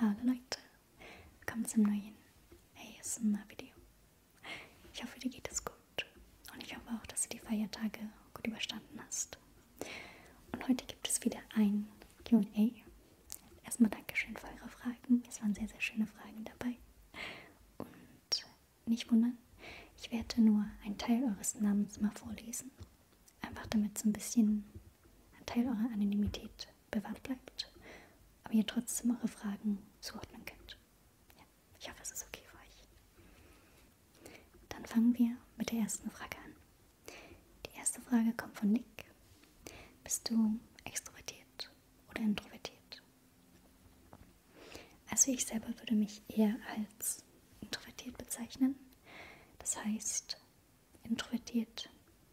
Hallo Leute, willkommen zum neuen ASMR-Video. Ich hoffe, dir geht es gut und ich hoffe auch, dass du die Feiertage gut überstanden hast. Und heute gibt es wieder ein QA. Erstmal Dankeschön für eure Fragen, es waren sehr, sehr schöne Fragen dabei. Und nicht wundern, ich werde nur einen Teil eures Namens mal vorlesen Einfach damit so ein bisschen ein Teil eurer Anonymität bewahrt bleibt, aber ihr trotzdem eure Fragen zuordnen könnt. Ja, ich hoffe, es ist okay für euch. Dann fangen wir mit der ersten Frage an. Die erste Frage kommt von Nick. Bist du extrovertiert oder introvertiert? Also ich selber würde mich eher als introvertiert bezeichnen. Das heißt introvertiert,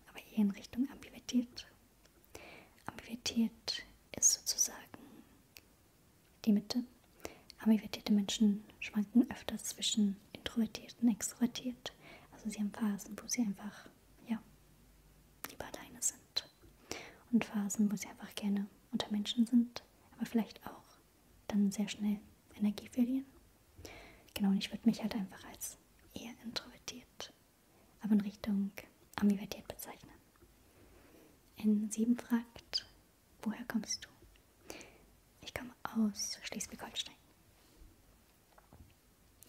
aber eher in Richtung ambivertiert. Ambivertiert ist sozusagen die Mitte. Ambivertierte Menschen schwanken öfters zwischen introvertiert und extrovertiert. Also sie haben Phasen, wo sie einfach, ja, lieber alleine sind. Und Phasen, wo sie einfach gerne unter Menschen sind, aber vielleicht auch dann sehr schnell Energie verlieren. Genau, und ich würde mich halt einfach als eher introvertiert, aber in Richtung ambivertiert bezeichnen. In 7 fragt, woher kommst du? Ich komme aus Schleswig-Holstein.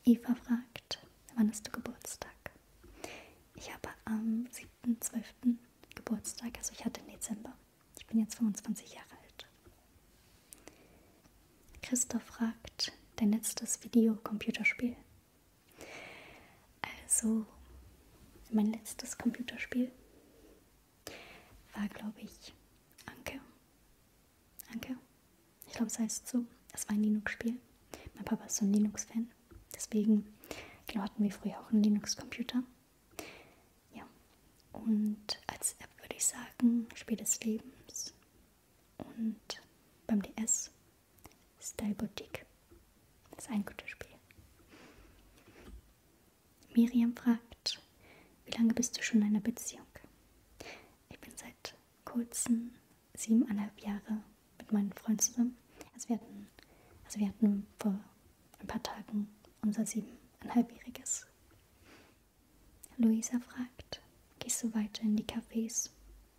Eva fragt, wann hast du Geburtstag? Ich habe am 7.12. Geburtstag, also ich hatte im Dezember. Ich bin jetzt 25 Jahre alt. Christoph fragt, dein letztes Videocomputerspiel. Also, mein letztes Computerspiel war, glaube ich, Anke. Anke? Ich glaube, es heißt so. Es war ein Linux-Spiel. Mein Papa ist so ein Linux-Fan. Deswegen, genau, hatten wir früher auch einen Linux-Computer. Ja, und als App würde ich sagen Spiel des Lebens und beim DS Style Boutique. Das ist ein gutes Spiel. Miriam fragt, wie lange bist du schon in einer Beziehung? Ich bin seit kurzem siebeneinhalb Jahre mit meinem Freund zusammen. Also wir hatten, also wir hatten vor ein paar Tagen unser siebeneinhalbjähriges. Luisa fragt, gehst du weiter in die Cafés,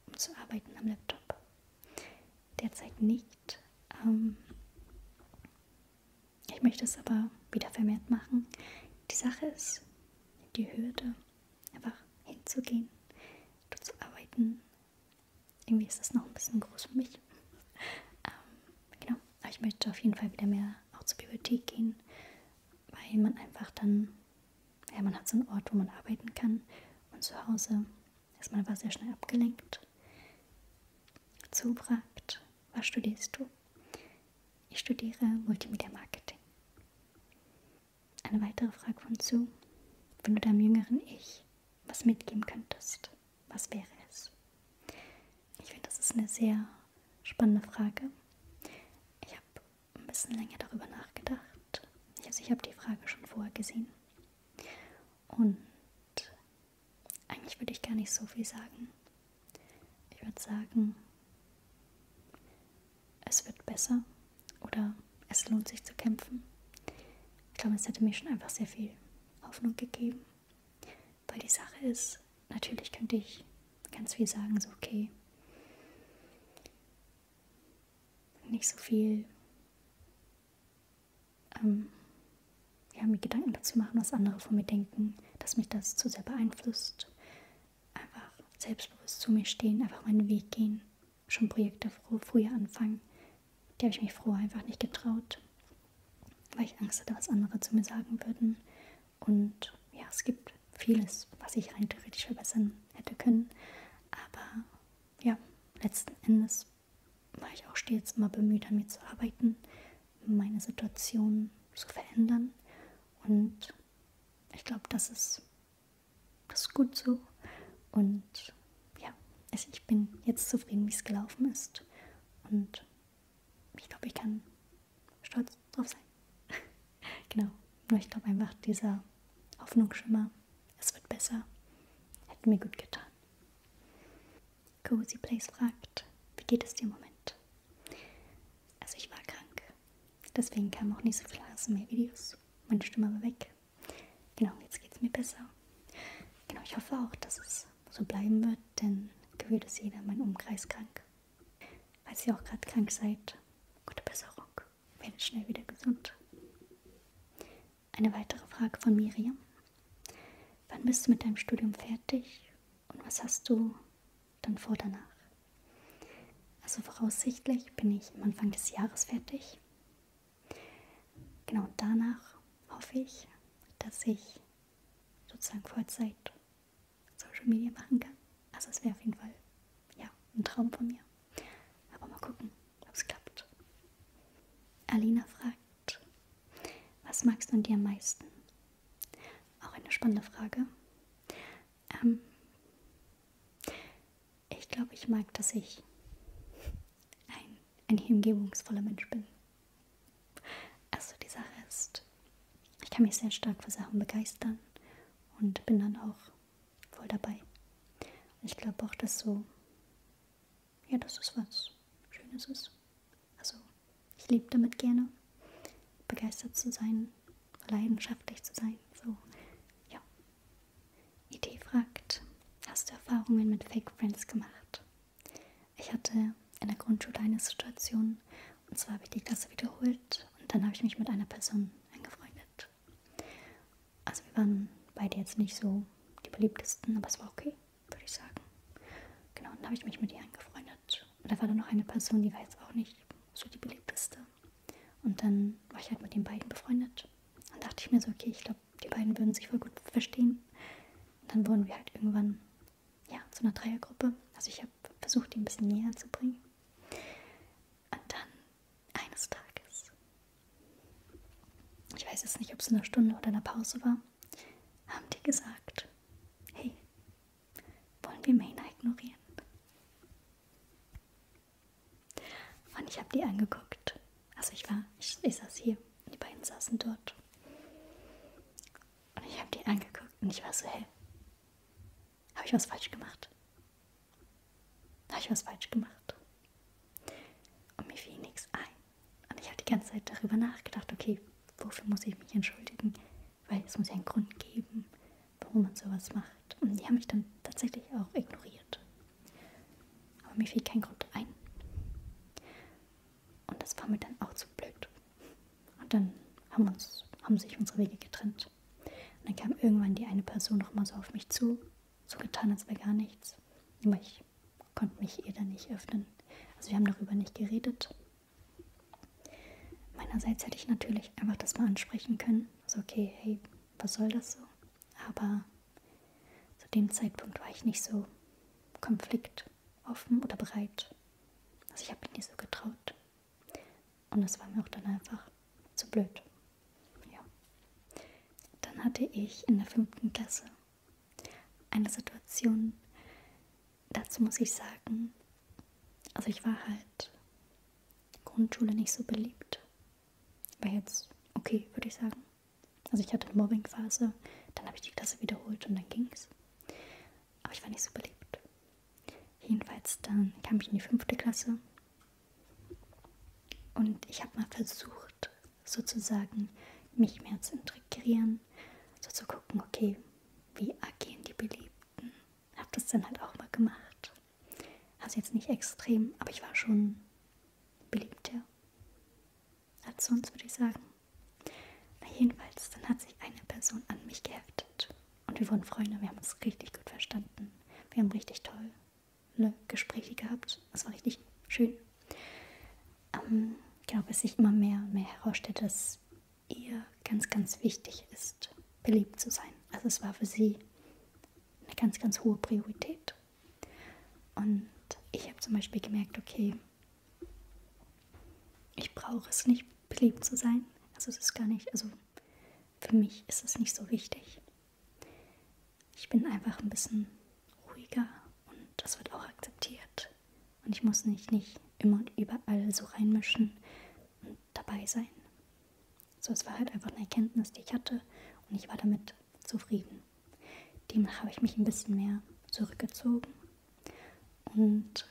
um zu arbeiten am Laptop? Derzeit nicht. Ähm ich möchte es aber wieder vermehrt machen. Die Sache ist, die Hürde, einfach hinzugehen, dort zu arbeiten. Irgendwie ist das noch ein bisschen groß für mich. Ähm, genau. Aber ich möchte auf jeden Fall wieder mehr auch zur Bibliothek gehen, weil man einfach dann, ja, man hat so einen Ort, wo man arbeiten kann. Und zu Hause ist man aber sehr schnell abgelenkt. Zu fragt, was studierst du? Ich studiere Multimedia Marketing. Eine weitere Frage von Zu, wenn du deinem jüngeren Ich was mitgeben könntest, was wäre es? Ich finde, das ist eine sehr spannende Frage. Ich habe ein bisschen länger darüber nachgedacht. Also ich habe die Frage schon vorher gesehen. Und eigentlich würde ich gar nicht so viel sagen. Ich würde sagen, es wird besser oder es lohnt sich zu kämpfen. Ich glaube, es hätte mir schon einfach sehr viel Hoffnung gegeben. Weil die Sache ist, natürlich könnte ich ganz viel sagen, so okay. Nicht so viel ähm, ja, mir Gedanken dazu machen, was andere von mir denken, dass mich das zu sehr beeinflusst. Einfach selbstbewusst zu mir stehen, einfach meinen Weg gehen, schon Projekte früher anfangen. Die habe ich mich früher einfach nicht getraut weil ich Angst hatte, was andere zu mir sagen würden. Und ja, es gibt vieles, was ich rein theoretisch verbessern hätte können. Aber ja, letzten Endes war ich auch stets immer bemüht, an mir zu arbeiten, meine Situation zu verändern. Und ich glaube, das ist, das ist gut so. Und ja, also ich bin jetzt zufrieden, wie es gelaufen ist. Und ich glaube, ich kann stolz drauf sein. genau. Nur ich glaube einfach, dieser Hoffnungsschimmer, es wird besser, hätte mir gut getan. Cozy Place fragt, wie geht es dir im Moment? Also ich war krank. Deswegen kamen auch nicht so viele ASMR-Videos. Meine Stimme war weg. Genau, jetzt geht es mir besser. Genau, ich hoffe auch, dass es so bleiben wird denn gefühlt ist jeder in meinem Umkreis krank. Falls ihr auch gerade krank seid, gute Besserung. Werdet schnell wieder gesund. Eine weitere Frage von Miriam. Wann bist du mit deinem Studium fertig und was hast du dann vor danach? Also voraussichtlich bin ich am Anfang des Jahres fertig. Genau danach hoffe ich, dass ich sozusagen Vollzeit Social Media machen kann. Also es wäre auf jeden Fall ja ein Traum von mir. Aber mal gucken, ob es klappt. Alina fragt, was magst du an dir am meisten? Auch eine spannende Frage. Ähm, ich glaube, ich mag, dass ich ein, ein hingebungsvoller Mensch bin. Also die Sache ist, ich kann mich sehr stark für Sachen begeistern und bin dann auch voll dabei. Und ich glaube auch, dass so, ja, das ist was Schönes ist. Also ich lebe damit gerne, begeistert zu sein, leidenschaftlich zu sein. So, ja. Idee fragt, hast du Erfahrungen mit Fake Friends gemacht? Ich hatte in der Grundschule eine Situation, und zwar habe ich die Klasse wiederholt und dann habe ich mich mit einer Person angefreundet. Also wir waren beide jetzt nicht so die beliebtesten, aber es war okay, würde ich sagen. Genau, und dann habe ich mich mit ihr angefreundet. Und da war dann noch eine Person, die war jetzt auch nicht so die beliebteste. Und dann war ich halt mit den beiden befreundet. Dann dachte ich mir so, okay, ich glaube, die beiden würden sich voll gut verstehen. Und dann wurden wir halt irgendwann ja, zu einer Dreiergruppe. Also ich habe versucht, die ein bisschen näher zu bringen. Und dann eines Tages, ich weiß jetzt nicht, ob es in einer Stunde oder in einer Pause war, haben die gesagt, hey, wollen wir Mena ignorieren? Und ich habe die angeguckt also ich war, ich, ich saß hier, die beiden saßen dort. Und ich habe die angeguckt und ich war so, hä? Habe ich was falsch gemacht? Habe ich was falsch gemacht? Und mir fiel nichts ein. Und ich habe die ganze Zeit darüber nachgedacht, okay, wofür muss ich mich entschuldigen? Weil es muss ja einen Grund geben, warum man sowas macht. Und die haben mich dann tatsächlich auch ignoriert. Aber mir fiel kein Grund ein. Und das war mir dann auch zu blöd. Und dann haben, uns, haben sich unsere Wege getrennt. Und dann kam irgendwann die eine Person noch mal so auf mich zu, so getan, als wäre gar nichts. Aber ich konnte mich ihr dann nicht öffnen. Also wir haben darüber nicht geredet. Meinerseits hätte ich natürlich einfach das mal ansprechen können. Also okay, hey, was soll das so? Aber zu dem Zeitpunkt war ich nicht so konfliktoffen oder bereit. Also ich habe mich nicht so getraut. Und das war mir auch dann einfach zu blöd. Ja. Dann hatte ich in der fünften Klasse eine Situation, dazu muss ich sagen, also ich war halt Grundschule nicht so beliebt. War jetzt okay, würde ich sagen. Also ich hatte Mobbing-Phase, dann habe ich die Klasse wiederholt und dann ging's. Aber ich war nicht so beliebt. Jedenfalls dann kam ich in die fünfte Klasse und ich habe mal versucht, sozusagen mich mehr zu integrieren, so zu gucken, okay, wie agieren die Beliebten. Habe das dann halt auch mal gemacht. Also jetzt nicht extrem, aber ich war schon beliebt, ja als sonst, würde ich sagen. Na jedenfalls, dann hat sich eine Person an mich geheftet. Und wir wurden Freunde, wir haben uns richtig gut verstanden. Wir haben richtig tolle ne, Gespräche gehabt. Es war richtig schön. Ähm, genau, bis sich immer mehr und mehr herausstellte, dass ihr ganz, ganz wichtig ist, beliebt zu sein. Also es war für sie eine ganz, ganz hohe Priorität. Und ich habe zum Beispiel gemerkt, okay, ich brauche es nicht, beliebt zu sein. Also es ist gar nicht, also für mich ist es nicht so wichtig. Ich bin einfach ein bisschen ruhiger und das wird auch akzeptiert. Und ich muss mich nicht immer und überall so reinmischen und dabei sein. So, es war halt einfach eine Erkenntnis, die ich hatte und ich war damit und zufrieden. Demnach habe ich mich ein bisschen mehr zurückgezogen und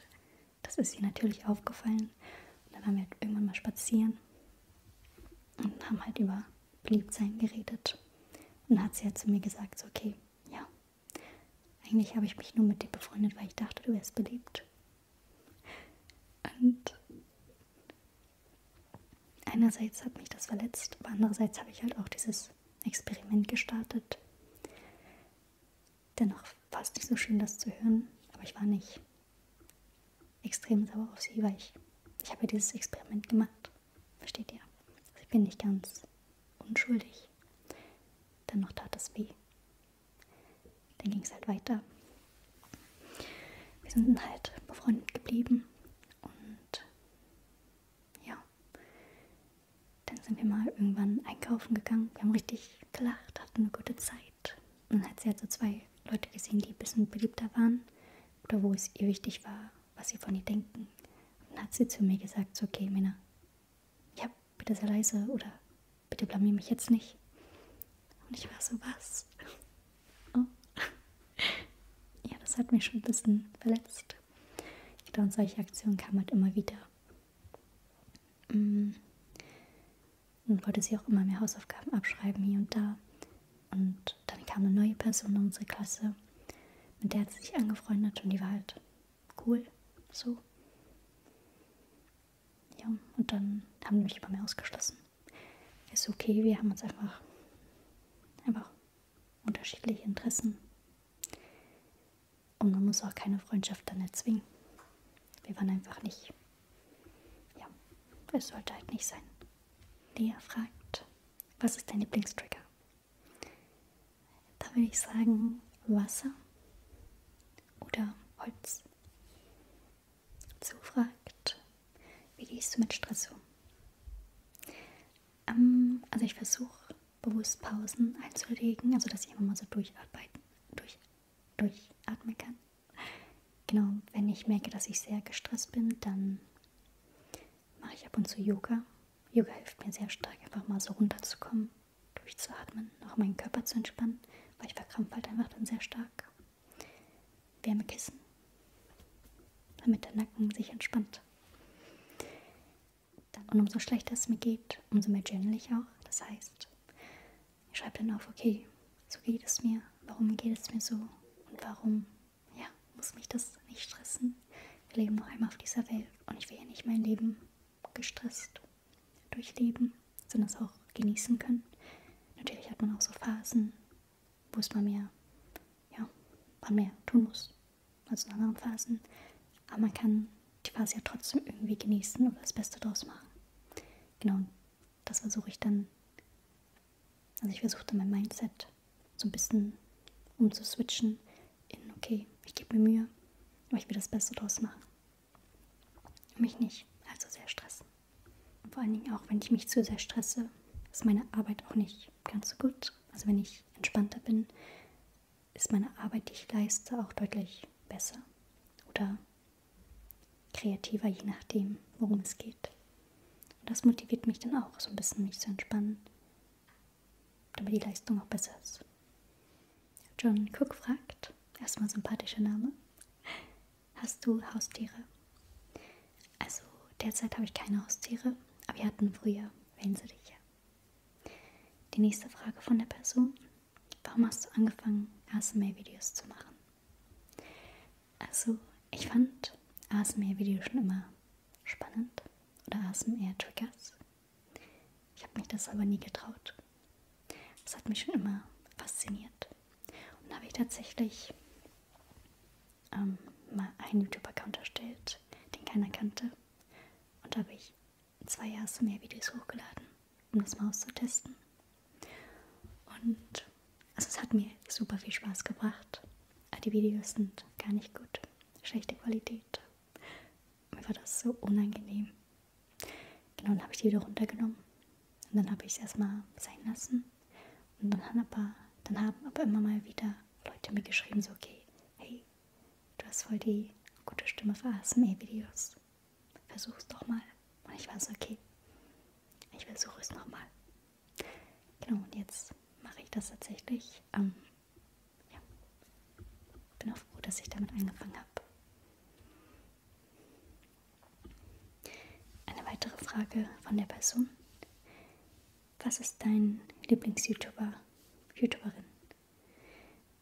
das ist ihr natürlich aufgefallen. Und dann waren wir halt irgendwann mal spazieren und haben halt über Beliebtsein geredet. Und dann hat sie halt zu mir gesagt, so, okay, ja, eigentlich habe ich mich nur mit dir befreundet, weil ich dachte, du wärst beliebt. Und einerseits hat mich das verletzt, aber andererseits habe ich halt auch dieses Experiment gestartet. Dennoch war es nicht so schön, das zu hören, aber ich war nicht extrem sauer auf sie, weil ich, ich habe dieses Experiment gemacht. Versteht ihr? Also ich bin nicht ganz unschuldig. Dennoch tat es weh. Dann ging es halt weiter. Wir sind halt befreundet geblieben und ja, dann sind wir mal irgendwann einkaufen gegangen. Wir haben richtig gelacht, hatten eine gute Zeit. Und dann hat sie halt so zwei Leute gesehen, die ein bisschen beliebter waren oder wo es ihr wichtig war, was sie von ihr denken. Und dann hat sie zu mir gesagt, so, okay, Männer, ja, bitte sehr leise oder bitte blamier mich jetzt nicht. Und ich war so, was? Oh ja, das hat mich schon ein bisschen verletzt. Ich glaube, solche Aktionen kamen halt immer wieder. Mm. Und wollte sie auch immer mehr Hausaufgaben abschreiben hier und da. Und dann kam eine neue Person in unsere Klasse, mit der hat sie sich angefreundet und die war halt cool. So. Ja, und dann haben die mich immer mehr ausgeschlossen. Ist okay, wir haben uns einfach, einfach unterschiedliche Interessen. Und man muss auch keine Freundschaft dann erzwingen. Wir waren einfach nicht. Ja, es sollte halt nicht sein. Lea fragt, was ist dein Lieblingstrigger? Da würde ich sagen, Wasser oder Holz. Zu fragt, wie gehst du mit Stress um? Ähm, also ich versuche bewusst Pausen einzulegen, also dass ich immer mal so durcharbeiten, durch, durchatmen kann. Genau, wenn ich merke, dass ich sehr gestresst bin, dann mache ich ab und zu Yoga. Yoga hilft mir sehr stark, einfach mal so runterzukommen, durchzuatmen, auch meinen Körper zu entspannen, weil ich verkrampfe halt einfach dann sehr stark. Wärmekissen damit der Nacken sich entspannt. Und umso schlechter es mir geht, umso mehr journal ich auch. Das heißt, ich schreibe dann auf, okay, so geht es mir, warum geht es mir so und warum, ja, muss mich das nicht stressen. Wir leben noch einmal auf dieser Welt und ich will ja nicht mein Leben gestresst durchleben, sondern es auch genießen können. Natürlich hat man auch so Phasen, wo es mal mehr, ja, mal mehr tun muss als in anderen Phasen. Aber man kann die Phase ja trotzdem irgendwie genießen oder das Beste draus machen. Genau, das versuche ich dann. Also ich versuche dann mein Mindset so ein bisschen umzuswitchen in, okay, ich gebe mir Mühe, aber ich will das Beste draus machen. Mich nicht, also sehr stressen. Und vor allen Dingen auch, wenn ich mich zu sehr stresse, ist meine Arbeit auch nicht ganz so gut. Also wenn ich entspannter bin, ist meine Arbeit, die ich leiste, auch deutlich besser oder kreativer, je nachdem, worum es geht. Und das motiviert mich dann auch, so ein bisschen mich zu entspannen, damit die Leistung auch besser ist. John Cook fragt, erstmal sympathischer Name, hast du Haustiere? Also derzeit habe ich keine Haustiere, aber wir hatten früher. Wählen Sie dich ja. Die nächste Frage von der Person. Warum hast du angefangen, ASMR-Videos zu machen? Also, ich fand ASMR-Videos schon immer spannend oder ASMR-Triggers. Ich habe mich das aber nie getraut. Das hat mich schon immer fasziniert. Und habe ich tatsächlich ähm, mal einen YouTube-Account erstellt, den keiner kannte. Und da habe ich zwei Jahre so mehr Videos hochgeladen, um das mal auszutesten. Und also es hat mir super viel Spaß gebracht. Aber die Videos sind gar nicht gut. Schlechte Qualität. Mir war das so unangenehm. Genau, dann habe ich die wieder runtergenommen. Und dann habe ich es erstmal sein lassen. Und dann haben, aber, dann haben aber immer mal wieder Leute mir geschrieben, so okay, hey, du hast voll die gute Stimme für ASMR-Videos. Versuch's doch mal. Und ich war so, okay, ich versuche es nochmal. Genau, und jetzt mache ich das tatsächlich. Ähm, ja. Bin auch froh, dass ich damit angefangen habe. Eine weitere Frage von der Person was ist dein Lieblings-YouTuber, YouTuberin?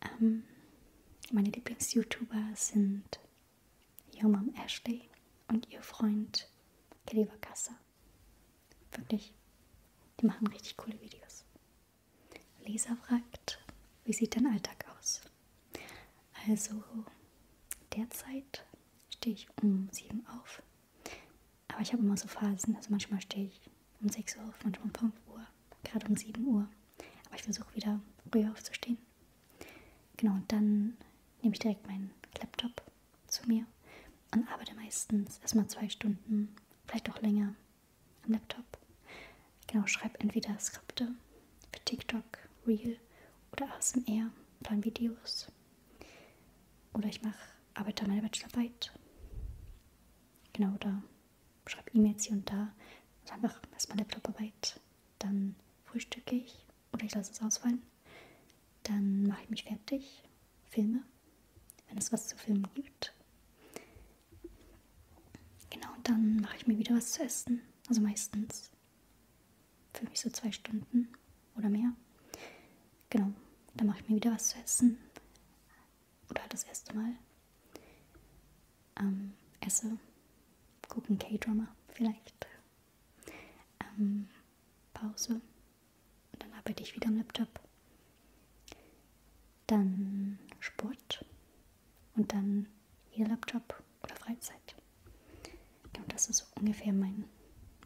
Ähm, meine Lieblings-YouTuber sind Yo Mom Ashley und ihr Freund Kelly Wakassa. Wirklich, die machen richtig coole Videos. Lisa fragt, wie sieht dein Alltag aus? Also, derzeit stehe ich um sieben auf, aber ich habe immer so Phasen. Also manchmal stehe ich um 6 Uhr auf, manchmal um 5 Uhr, gerade um 7 Uhr. Aber ich versuche wieder früher aufzustehen. Genau, und dann nehme ich direkt meinen Laptop zu mir und arbeite meistens erstmal zwei Stunden, vielleicht auch länger am Laptop. Genau, schreibe entweder Skripte für TikTok, Reel oder ASMR, dann Videos oder ich mache, arbeite an meiner Bachelorarbeit. Genau, oder schreibe E-Mails hier und da. Also einfach erstmal Laptoparbeit. Dann frühstücke ich oder ich lasse es ausfallen. Dann mache ich mich fertig, filme, wenn es was zu filmen gibt. Genau, und dann mache ich mir wieder was zu essen. Also meistens für mich so zwei Stunden oder mehr. Genau, dann mache ich mir wieder was zu essen. Oder das erste Mal. Ähm, esse, gucke ein K-Drama vielleicht. Ähm, Pause. Und dann arbeite ich wieder am Laptop. Dann Sport. Und dann wieder Laptop oder Freizeit. Genau das ist so ungefähr mein,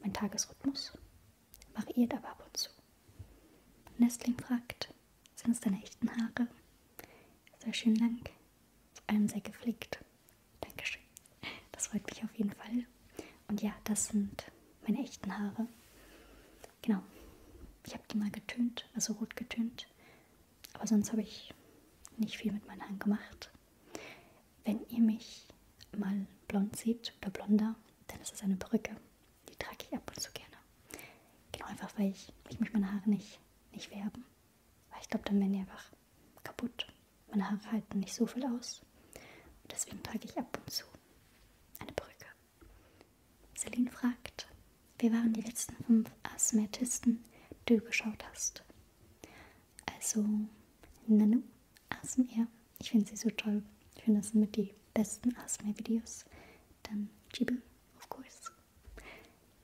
mein Tagesrhythmus. Variiert aber ab und zu. Nestling fragt, sind es deine echten Haare? Sehr schön lang. Vor allem sehr gepflegt. Dankeschön. Das freut mich auf jeden Fall. Und ja, das sind meine echten Haare. Genau. Ich habe die mal getönt, also rot getönt. Aber sonst habe ich nicht viel mit meinen Haaren gemacht. Wenn ihr mich mal blond seht oder blonder, dann ist es eine Perücke. Die trage ich ab und zu gerne. Genau einfach, weil ich, weil ich mich meine Haare nicht, nicht werben. Weil ich glaube, dann werden die einfach kaputt. Meine Haare halten nicht so viel aus. Und deswegen trage ich ab und zu eine Perücke. Celine fragt, wir waren die letzten fünf Asthmatisten, die du geschaut hast. Also Nanu, ASMR. Ich finde sie so toll. Ich finde, das sind mit die besten ASMR-Videos. Dann Chibi, of course.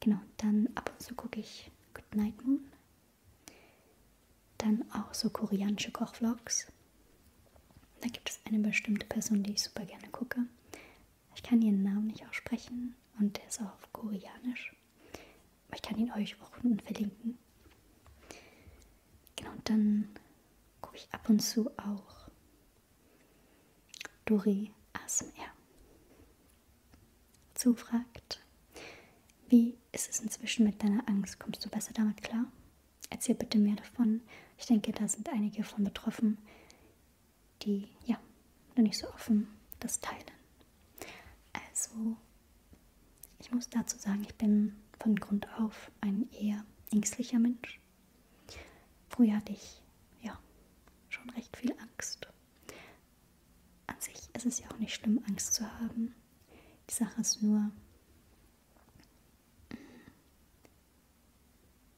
Genau, dann ab und zu gucke ich Good Night Moon. Dann auch so koreanische Kochvlogs. Da gibt es eine bestimmte Person, die ich super gerne gucke. Ich kann ihren Namen nicht aussprechen und der ist auch auf Koreanisch. Aber ich kann ihn euch auch unten verlinken. Genau, und dann gucke ich ab und zu auch Dori ASMR. Zufragt, wie ist es inzwischen mit deiner Angst? Kommst du besser damit klar? Erzähl bitte mehr davon. Ich denke, da sind einige von betroffen, die ja noch nicht so offen das teilen. Also, ich muss dazu sagen, ich bin von Grund auf ein eher ängstlicher Mensch. Früher hatte ich ja schon recht viel Angst. An sich ist es ja auch nicht schlimm, Angst zu haben. Die Sache ist nur, mm,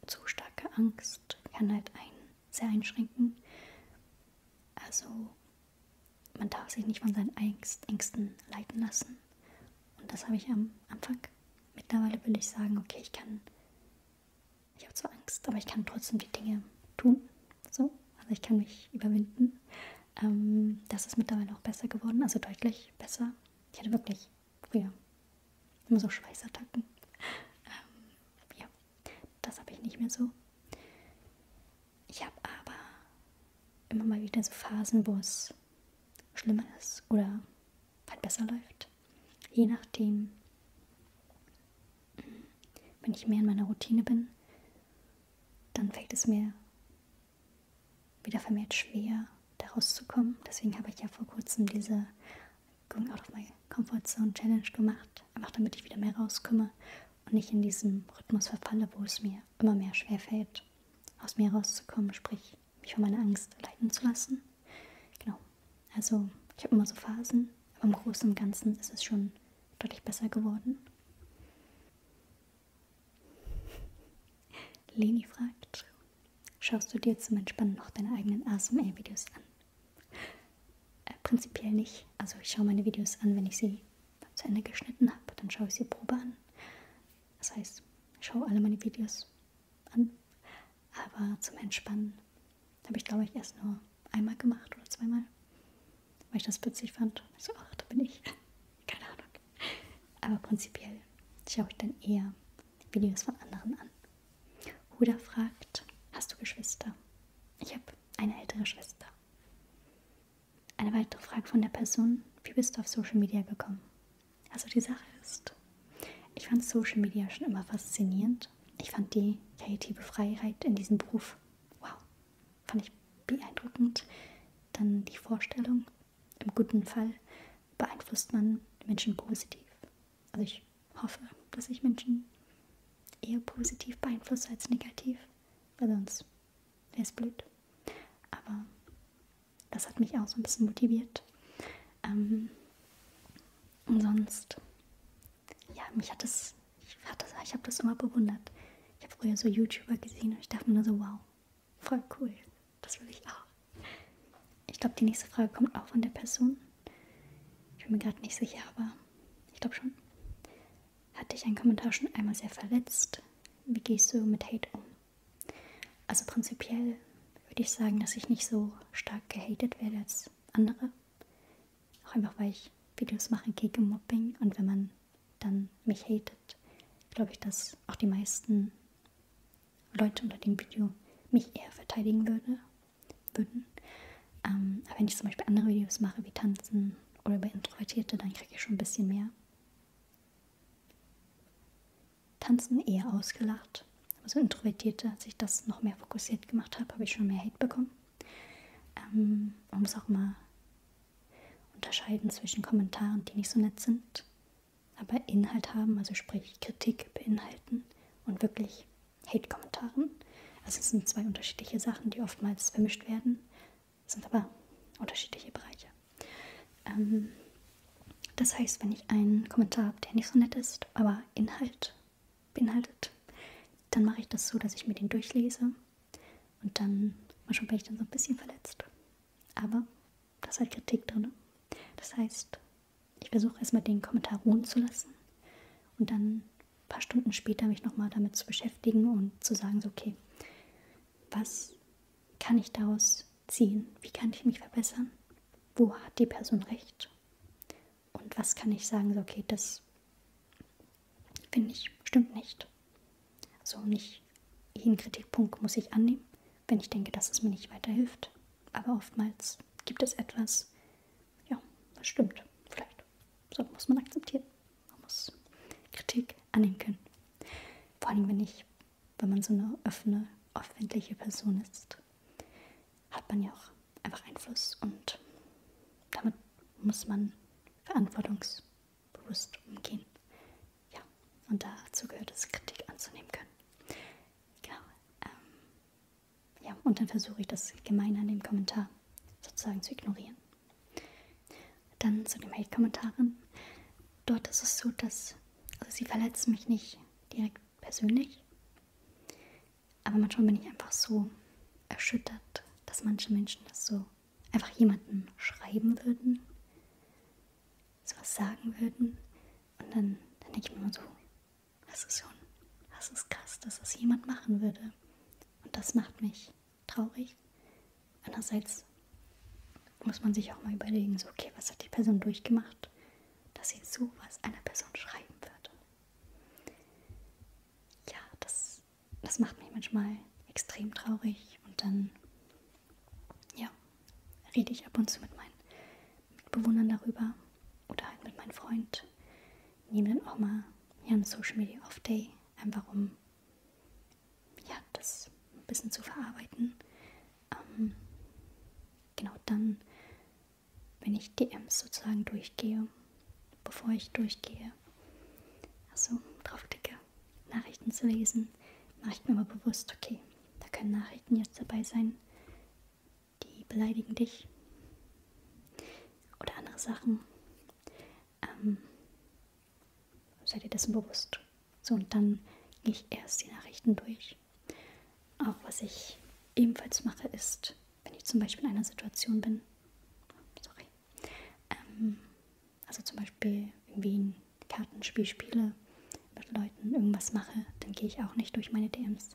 zu starke Angst kann halt einen sehr einschränken. Also man darf sich nicht von seinen Ängsten leiten lassen. Und das habe ich am Anfang. Mittlerweile will ich sagen, okay, ich kann, ich habe zwar Angst, aber ich kann trotzdem die Dinge tun. So, also ich kann mich überwinden. Ähm, das ist mittlerweile auch besser geworden, also deutlich besser. Ich hatte wirklich früher immer so Schweißattacken. Ähm, ja, das habe ich nicht mehr so. Ich habe aber immer mal wieder so Phasen, wo es schlimmer ist oder halt besser läuft. Je nachdem, hm, wenn ich mehr in meiner Routine bin, dann fällt es mir wieder vermehrt schwer, da rauszukommen. Deswegen habe ich ja vor kurzem diese Going Out of My Comfort Zone Challenge gemacht, einfach damit ich wieder mehr rauskomme und nicht in diesem Rhythmus verfalle, wo es mir immer mehr schwerfällt, aus mir rauszukommen, sprich mich von meiner Angst leiten zu lassen. Genau. Also ich habe immer so Phasen, aber im Großen und Ganzen ist es schon deutlich besser geworden. Leni fragt, schaust du dir zum Entspannen noch deine eigenen ASMR-Videos an? Äh, prinzipiell nicht. Also ich schaue meine Videos an, wenn ich sie zu Ende geschnitten habe, dann schaue ich sie Probe an. Das heißt, ich schaue alle meine Videos an. Aber zum Entspannen habe ich, glaube ich, erst nur einmal gemacht oder zweimal, weil ich das witzig fand. So, ach, da bin ich. Keine Ahnung. Aber prinzipiell schaue ich dann eher Videos von anderen an. Huda fragt, hast du Geschwister? Ich habe eine ältere Schwester. Eine weitere Frage von der Person: Wie bist du auf Social Media gekommen? Also, die Sache ist, ich fand Social Media schon immer faszinierend. Ich fand die kreative Freiheit in diesem Beruf, wow, fand ich beeindruckend. Dann die Vorstellung, im guten Fall beeinflusst man Menschen positiv. Also ich hoffe, dass ich Menschen eher positiv beeinflusse als negativ weil sonst wäre es blöd. Aber das hat mich auch so ein bisschen motiviert. Ähm, und sonst, ja, mich hat das, ich, hat das, ich habe das immer bewundert. Ich habe früher so YouTuber gesehen und ich dachte mir nur so, wow, voll cool, das will ich auch. Ich glaube, die nächste Frage kommt auch von der Person. Ich bin mir gerade nicht sicher, aber ich glaube schon hat dich ein Kommentar schon einmal sehr verletzt? Wie gehst du mit Hate um? Also prinzipiell würde ich sagen, dass ich nicht so stark gehatet werde als andere. Auch einfach, weil ich Videos mache gegen Mobbing und wenn man dann mich hatet, glaube ich, dass auch die meisten Leute unter dem Video mich eher verteidigen würde, würden. Ähm, aber wenn ich zum Beispiel andere Videos mache, wie Tanzen oder über Introvertierte, dann kriege ich schon ein bisschen mehr. Tanzen eher ausgelacht. Aber so Introvertierte, als ich das noch mehr fokussiert gemacht habe, habe ich schon mehr Hate bekommen. Ähm, man muss auch mal unterscheiden zwischen Kommentaren, die nicht so nett sind, aber Inhalt haben, also sprich Kritik beinhalten und wirklich Hate-Kommentaren. Also es sind zwei unterschiedliche Sachen, die oftmals vermischt werden, sind aber unterschiedliche Bereiche. Ähm, das heißt, wenn ich einen Kommentar habe, der nicht so nett ist, aber Inhalt beinhaltet, dann mache ich das so, dass ich mir den durchlese und dann, manchmal bin ich dann so ein bisschen verletzt. Aber da ist halt Kritik drin. Das heißt, ich versuche erstmal den Kommentar ruhen zu lassen und dann ein paar Stunden später mich nochmal damit zu beschäftigen und zu sagen, so, okay, was kann ich daraus ziehen? Wie kann ich mich verbessern? Wo hat die Person recht? Und was kann ich sagen, so, okay, das finde ich, stimmt nicht. Also nicht jeden Kritikpunkt muss ich annehmen, wenn ich denke, dass es mir nicht weiterhilft. Aber oftmals gibt es etwas, ja, das stimmt. Vielleicht. So muss man akzeptieren. Man muss Kritik annehmen können. Vor allem, wenn ich, wenn man so eine offene, öffentliche Person ist, hat man ja auch einfach Einfluss und damit muss man verantwortungsbewusst umgehen. Ja, und dazu gehört es, Kritik anzunehmen können. Genau. Ähm, ja, und dann versuche ich das gemein an dem Kommentar sozusagen zu ignorieren. Dann zu den Hate-Kommentaren. Dort ist es so, dass also sie verletzen mich nicht direkt persönlich, aber manchmal bin ich einfach so erschüttert, dass manche Menschen das so einfach jemanden schreiben würden, sowas sagen würden und dann, dann denke ich mir immer so, das ist schon, das ist krass, dass das jemand machen würde. Und das macht mich traurig. Andererseits muss man sich auch mal überlegen, so, okay, was hat die Person durchgemacht, dass sie sowas einer Person schreiben würde. Ja, das, das macht mich manchmal extrem traurig und dann, ja, rede ich ab und zu mit meinen Mitbewohnern darüber oder halt mit meinem Freund, nehmen auch mal ja, einen Social Media Off Day, einfach um ja, das ein bisschen zu verarbeiten. Ähm, genau dann, wenn ich DMs sozusagen durchgehe, bevor ich durchgehe, also draufklicke, Nachrichten zu lesen, mache ich mir mal bewusst, okay, da können Nachrichten jetzt dabei sein, die beleidigen dich, oder andere Sachen. Ähm, seid ihr dessen bewusst? So, und dann gehe ich erst die Nachrichten durch. Auch was ich ebenfalls mache, ist, wenn ich zum Beispiel in einer Situation bin, sorry, ähm, also zum Beispiel irgendwie ein Kartenspiel spiele, mit Leuten irgendwas mache, dann gehe ich auch nicht durch meine DMs.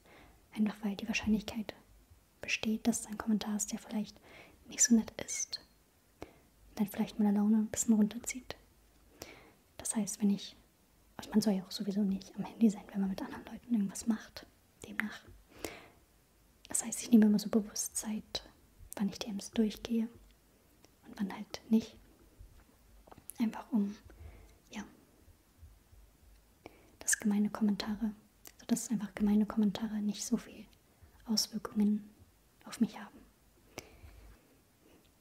Einfach weil die Wahrscheinlichkeit besteht, dass dein Kommentar ist, der vielleicht nicht so nett ist. Dann vielleicht meine Laune ein bisschen runterzieht. Das heißt, wenn ich, also man soll ja auch sowieso nicht am Handy sein, wenn man mit anderen Leuten irgendwas macht. Demnach. Das heißt, ich nehme immer so bewusst Zeit, wann ich DMs durchgehe und wann halt nicht. Einfach um, ja, das gemeine Kommentare, sodass also, einfach gemeine Kommentare nicht so viel Auswirkungen auf mich haben.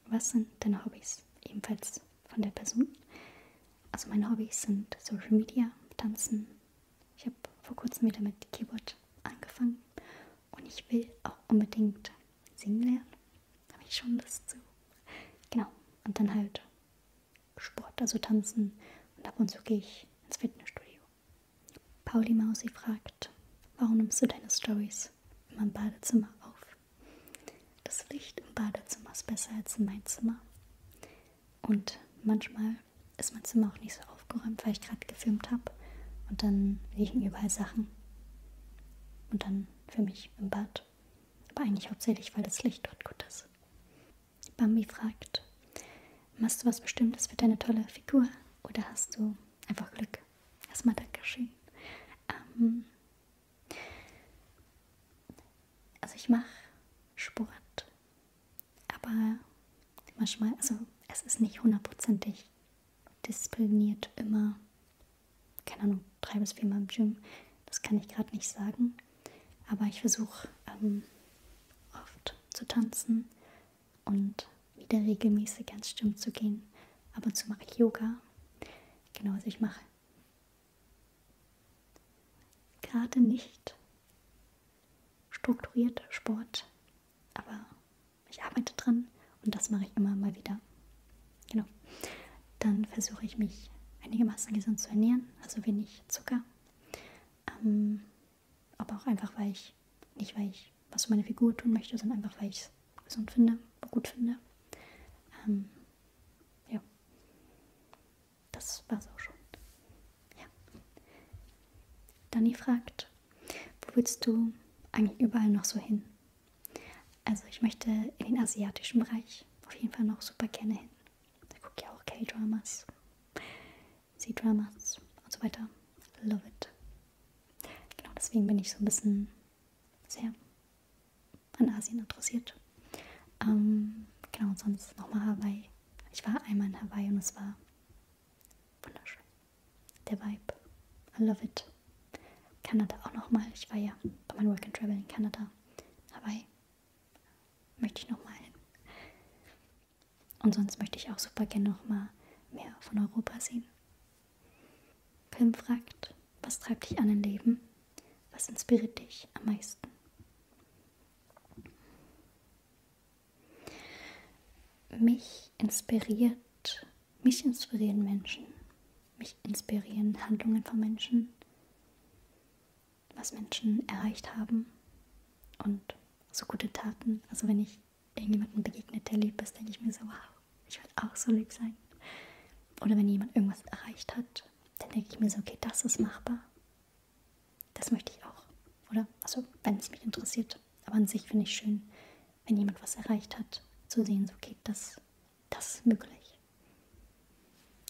Was sind deine Hobbys? Ebenfalls von der Person. Also meine Hobbys sind Social Media, Tanzen. Ich habe vor kurzem wieder mit Keyboard angefangen und ich will auch unbedingt singen lernen. Habe ich schon Lust zu. Genau. Und dann halt Sport, also tanzen. Und ab und zu gehe ich ins Fitnessstudio. Pauli Mausi fragt, warum nimmst du deine Stories immer im Badezimmer auf? Das Licht im Badezimmer ist besser als in meinem Zimmer. Und manchmal ist mein Zimmer auch nicht so aufgeräumt, weil ich gerade gefilmt habe. Und dann liegen überall Sachen. Und dann für mich im Bad. Aber eigentlich hauptsächlich, weil das Licht dort gut ist. Bambi fragt, machst du was Bestimmtes für deine tolle Figur oder hast du einfach Glück? Erstmal Dankeschön. Ähm, also ich mache Sport, aber manchmal, also es ist nicht hundertprozentig diszipliniert immer, keine Ahnung, drei bis viermal im Gym. Das kann ich gerade nicht sagen. Aber ich versuche ähm, oft zu tanzen und wieder regelmäßig ans Stimmen zu gehen. Ab und zu mache ich Yoga. Genau, also ich mache gerade nicht strukturiert Sport, aber ich arbeite dran und das mache ich immer mal wieder. Genau. Dann versuche ich mich einigermaßen gesund zu ernähren, also wenig Zucker, ähm, aber auch einfach, weil ich, nicht weil ich was für meine Figur tun möchte, sondern einfach, weil ich es gesund finde, gut finde. Ähm, ja. Das war's auch schon. Ja. Dani fragt, wo willst du eigentlich überall noch so hin? Also ich möchte in den asiatischen Bereich auf jeden Fall noch super gerne hin. Da gucke ich auch K-Dramas, C-Dramas und so weiter. Love it. Genau deswegen bin ich so ein bisschen sehr an Asien interessiert. Ähm, genau, und sonst nochmal Hawaii. Ich war einmal in Hawaii und es war wunderschön. Der Vibe. I love it. Kanada auch nochmal. Ich war ja bei meinem Work and Travel in Kanada. Hawaii. Möchte ich nochmal hin. Und sonst möchte ich auch super gerne nochmal mehr von Europa sehen. Film fragt, was treibt dich an im Leben? Was inspiriert dich am meisten? Mich inspiriert, mich inspirieren Menschen. Mich inspirieren Handlungen von Menschen was Menschen erreicht haben und so gute Taten. Also wenn ich irgendjemandem begegnet, der lieb ist, denke ich mir so, wow, ich will auch so lieb sein. Oder wenn jemand irgendwas erreicht hat, dann denke ich mir so, okay, das ist machbar. Das möchte ich auch. Oder? Also, wenn es mich interessiert. Aber an sich finde ich schön, wenn jemand was erreicht hat, zu sehen, so, okay, das, das ist möglich.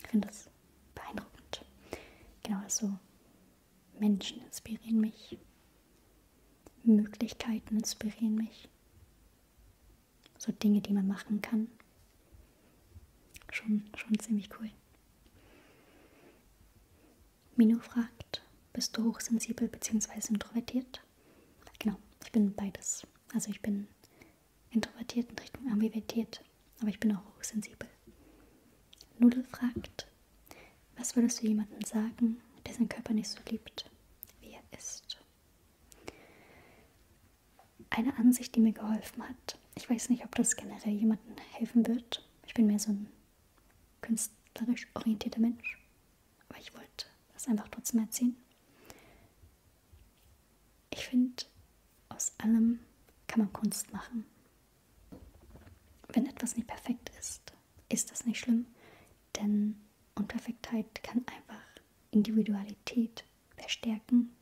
Ich finde das beeindruckend. Genau, also Menschen inspirieren mich. Möglichkeiten inspirieren mich. So Dinge, die man machen kann. Schon, schon ziemlich cool. Mino fragt, bist du hochsensibel bzw. introvertiert? Genau, ich bin beides. Also ich bin introvertiert in Richtung Ambivertiert, aber ich bin auch hochsensibel. Nudel fragt, was würdest du jemandem sagen, der seinen Körper nicht so liebt, wie er ist? Eine Ansicht, die mir geholfen hat. Ich weiß nicht, ob das generell jemandem helfen wird. Ich bin mehr so ein künstlerisch orientierter Mensch. Aber ich wollte das einfach trotzdem erzählen ich finde, aus allem kann man Kunst machen. Wenn etwas nicht perfekt ist, ist das nicht schlimm, denn Unperfektheit kann einfach Individualität verstärken,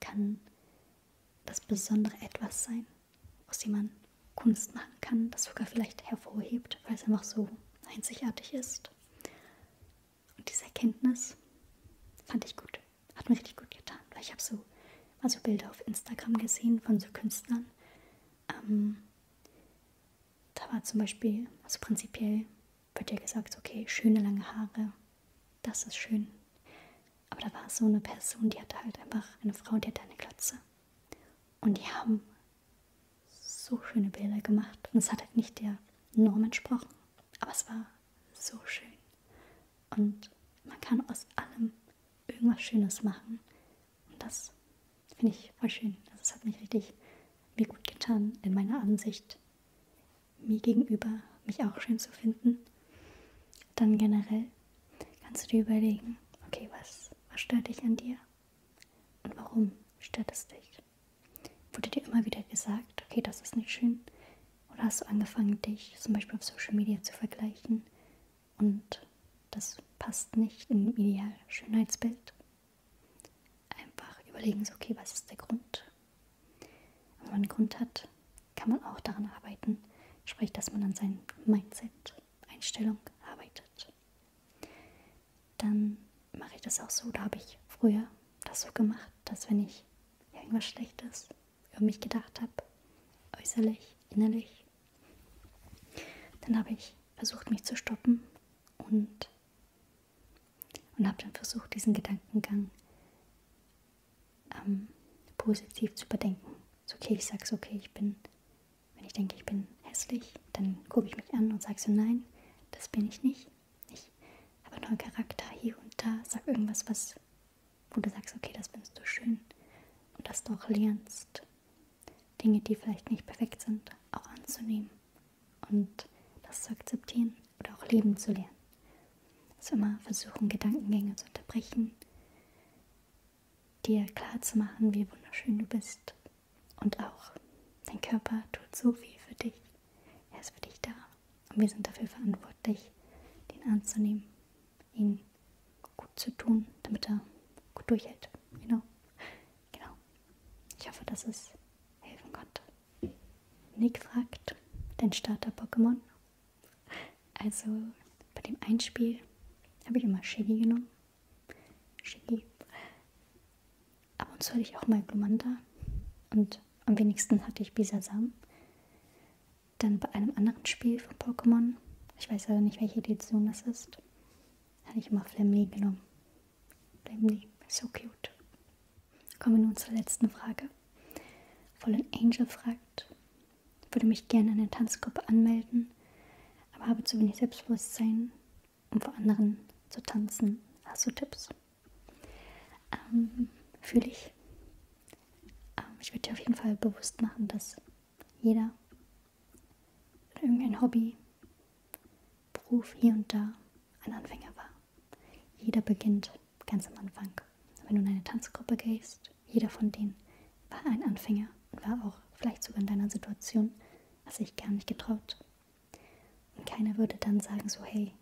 kann das besondere etwas sein, aus dem man Kunst machen kann, das sogar vielleicht hervorhebt, weil es einfach so einzigartig ist. Und diese Erkenntnis fand ich gut. Hat mir richtig gut getan, weil ich habe so also Bilder auf Instagram gesehen von so Künstlern. Ähm, da war zum Beispiel, also prinzipiell wird ja gesagt, okay, schöne lange Haare, das ist schön. Aber da war so eine Person, die hatte halt einfach eine Frau, die hatte eine Glatze. Und die haben so schöne Bilder gemacht. Und es hat halt nicht der Norm entsprochen, aber es war so schön. Und man kann aus allem irgendwas Schönes machen. Und das finde ich voll schön. Also es hat mich richtig mir gut getan, in meiner Ansicht mir gegenüber mich auch schön zu finden. Dann generell kannst du dir überlegen, okay, was, was stört dich an dir? Und warum stört es dich? Wurde dir immer wieder gesagt, okay, das ist nicht schön, oder hast du angefangen, dich zum Beispiel auf Social Media zu vergleichen und das passt nicht in dem idealen Schönheitsbild? Einfach überlegen, so, okay, was ist der Grund? Wenn man einen Grund hat, kann man auch daran arbeiten, sprich, dass man an seinem Mindset, Einstellung arbeitet. Dann mache ich das auch so, da habe ich früher das so gemacht, dass wenn ich ja, irgendwas Schlechtes über mich gedacht habe, äußerlich, innerlich. Dann habe ich versucht, mich zu stoppen und, und habe dann versucht, diesen Gedankengang ähm, positiv zu überdenken. So, okay, ich sage okay, ich bin, wenn ich denke, ich bin hässlich, dann gucke ich mich an und sage so, nein, das bin ich nicht. Ich habe nur einen Charakter hier und da. Sag irgendwas, was, wo du sagst, okay, das findest du schön. Und dass du auch lernst, Dinge, die vielleicht nicht perfekt sind, auch anzunehmen. Und das zu akzeptieren oder auch leben zu lernen. Also immer versuchen, Gedankengänge zu unterbrechen, dir klar zu machen, wie wunderschön du bist. Und auch dein Körper tut so viel für dich. Er ist für dich da. Und wir sind dafür verantwortlich, den anzunehmen, ihn gut zu tun, damit er gut durchhält. Genau. Genau. Ich hoffe, dass es helfen konnte. Nick fragt, dein Starter-Pokémon. Also bei dem Einspiel habe ich immer Shiggy genommen. Shiggy. Ab und zu hatte ich auch mal Glumanda. Und am wenigsten hatte ich Bisasam. Dann bei einem anderen Spiel von Pokémon, ich weiß aber nicht, welche Edition das ist, hatte ich immer Flamly genommen. Flamly, so cute. Kommen wir nun zur letzten Frage. Fallen Angel fragt, würde mich gerne in der Tanzgruppe anmelden, aber habe zu wenig Selbstbewusstsein, um vor anderen zu tanzen. Hast du Tipps? Ähm, Fühle ich. Ähm, ich würde dir auf jeden Fall bewusst machen, dass jeder irgendein Hobby, Beruf hier und da ein Anfänger war. Jeder beginnt ganz am Anfang. Wenn du in eine Tanzgruppe gehst, jeder von denen war ein Anfänger und war auch vielleicht sogar in deiner Situation, was sich gar nicht getraut. Und keiner würde dann sagen so, hey,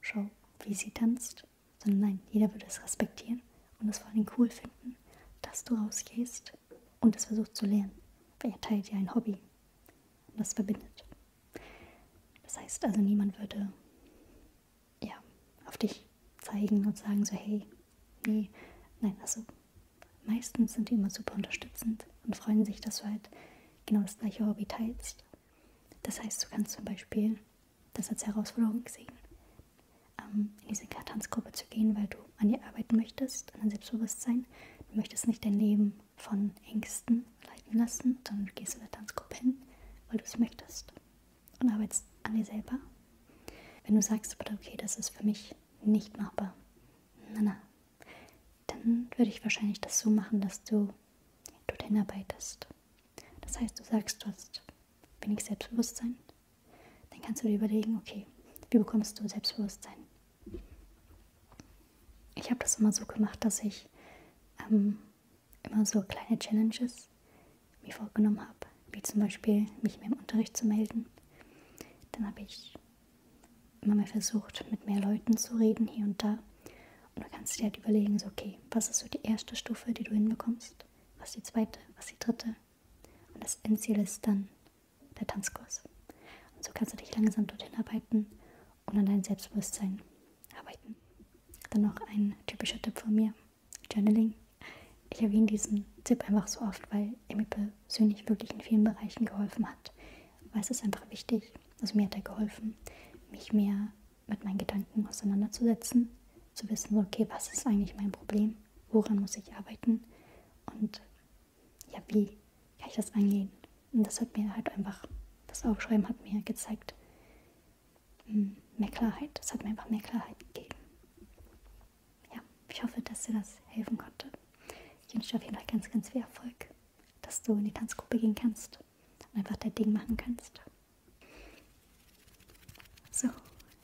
Schau, wie sie tanzt, sondern also nein, jeder würde es respektieren und es vor allem cool finden, dass du rausgehst und es versuchst zu lernen, weil ihr teilt ja ein Hobby und das verbindet. Das heißt also, niemand würde ja, auf dich zeigen und sagen so, hey, nee, nein, also meistens sind die immer super unterstützend und freuen sich, dass du halt genau das gleiche Hobby teilst das heißt, du kannst zum Beispiel das als Herausforderung sehen, ähm, in diese Tanzgruppe zu gehen, weil du an dir arbeiten möchtest, an dein Selbstbewusstsein. Du möchtest nicht dein Leben von Ängsten leiten lassen, sondern du gehst in der Tanzgruppe hin, weil du es möchtest und arbeitest an dir selber. Wenn du sagst, okay, das ist für mich nicht machbar, na na, dann würde ich wahrscheinlich das so machen, dass du du denn arbeitest. Das heißt, du sagst, du hast wenig Selbstbewusstsein, dann kannst du dir überlegen, okay, wie bekommst du Selbstbewusstsein? Ich habe das immer so gemacht, dass ich ähm, immer so kleine Challenges mir vorgenommen habe, wie zum Beispiel mich mehr im Unterricht zu melden. Dann habe ich immer mal versucht, mit mehr Leuten zu reden hier und da und du kannst dir halt überlegen, so, okay, was ist so die erste Stufe, die du hinbekommst? Was die zweite, was die dritte? Und das Endziel ist dann der Tanzkurs. Und so kannst du dich langsam dorthin arbeiten und an dein Selbstbewusstsein arbeiten. Dann noch ein typischer Tipp von mir, Journaling. Ich erwähne diesen Tipp einfach so oft, weil er mir persönlich wirklich in vielen Bereichen geholfen hat. Weil es ist einfach wichtig, also mir hat er geholfen, mich mehr mit meinen Gedanken auseinanderzusetzen, zu wissen, okay, was ist eigentlich mein Problem, woran muss ich arbeiten und ja, wie kann ich das angehen. Und das hat mir halt einfach, das Aufschreiben hat mir gezeigt, hm, mehr Klarheit, das hat mir einfach mehr Klarheit gegeben. Ja, ich hoffe, dass dir das helfen konnte. Ich wünsche dir auf jeden Fall ganz, ganz viel Erfolg, dass du in die Tanzgruppe gehen kannst kannst und einfach dein Ding machen kannst. So,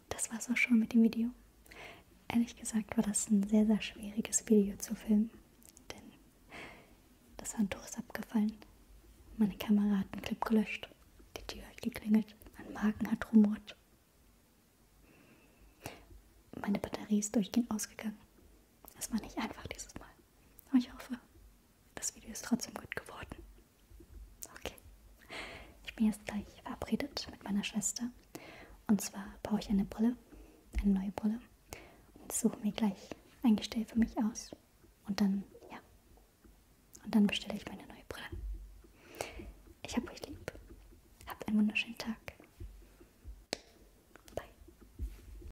das war's auch schon mit dem Video. Ehrlich gesagt war das ein sehr, sehr schwieriges Video zu filmen, denn das Handtuch ist abgefallen, meine Kamera hat einen Clip gelöscht, die Tür hat geklingelt, mein Magen hat rumort. Meine Batterie ist durchgehend ausgegangen. Es war nicht einfach dieses Mal. Aber ich hoffe, das Video ist trotzdem gut geworden. Okay. Ich bin jetzt gleich verabredet mit meiner Schwester. Und zwar brauche ich eine Brille, eine neue Brille. Und suche mir gleich ein Gestell für mich aus. Und dann, ja. Und dann bestelle ich meine neue Brille. Ich habe euch lieb. Habt einen wunderschönen Tag.